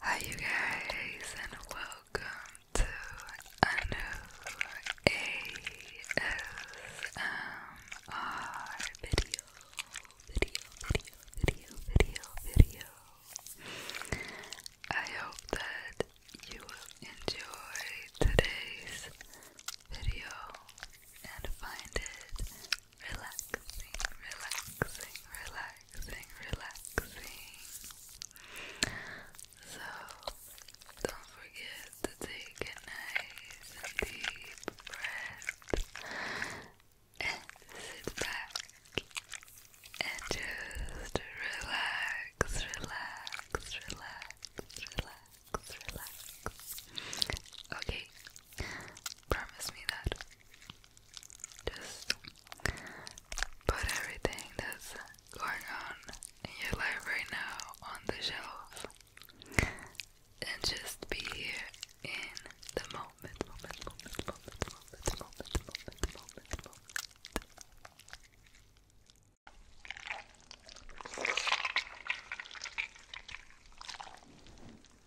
Hi you guys and welcome to a new ASMR video video video video video video I hope that you will enjoy today's video and find it relaxing, relaxing, relaxing, relaxing. So don't forget to take nice deep breath and sit back and just relax, relax, relax, relax, relax. Okay, Promise me that. Just put everything that's going on in your life right now on the shelf and just be here in the moment,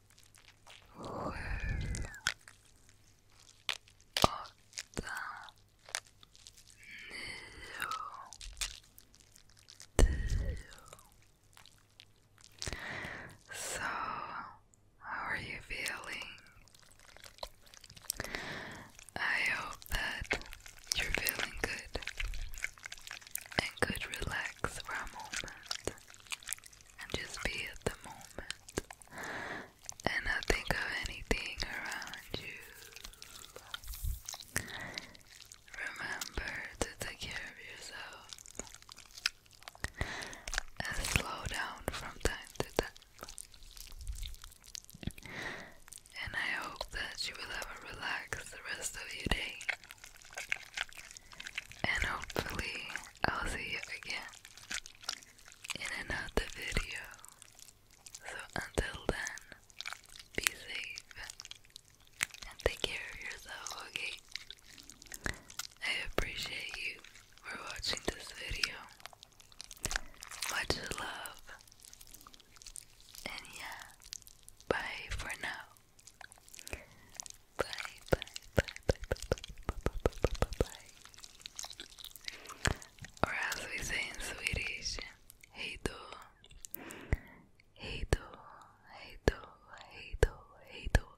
sju, So, how are you feeling? I hope that you're feeling good and could relax for a moment and just be at the moment and not think of anything around you. Remember to take care of yourself and slow down from time to time. And I hope that you will have a relaxed rest of your day and hopefully I'll see you again in another video. So until then, be safe and take care of yourself, okay? I appreciate you for watching this video. Much love. And yeah, bye for now. Bye, bye, bye, bye, bye, bye, bye, bye, bye, bye, Or as we say in Swedish, hej då. Hej då, hej då, hej då, hej då.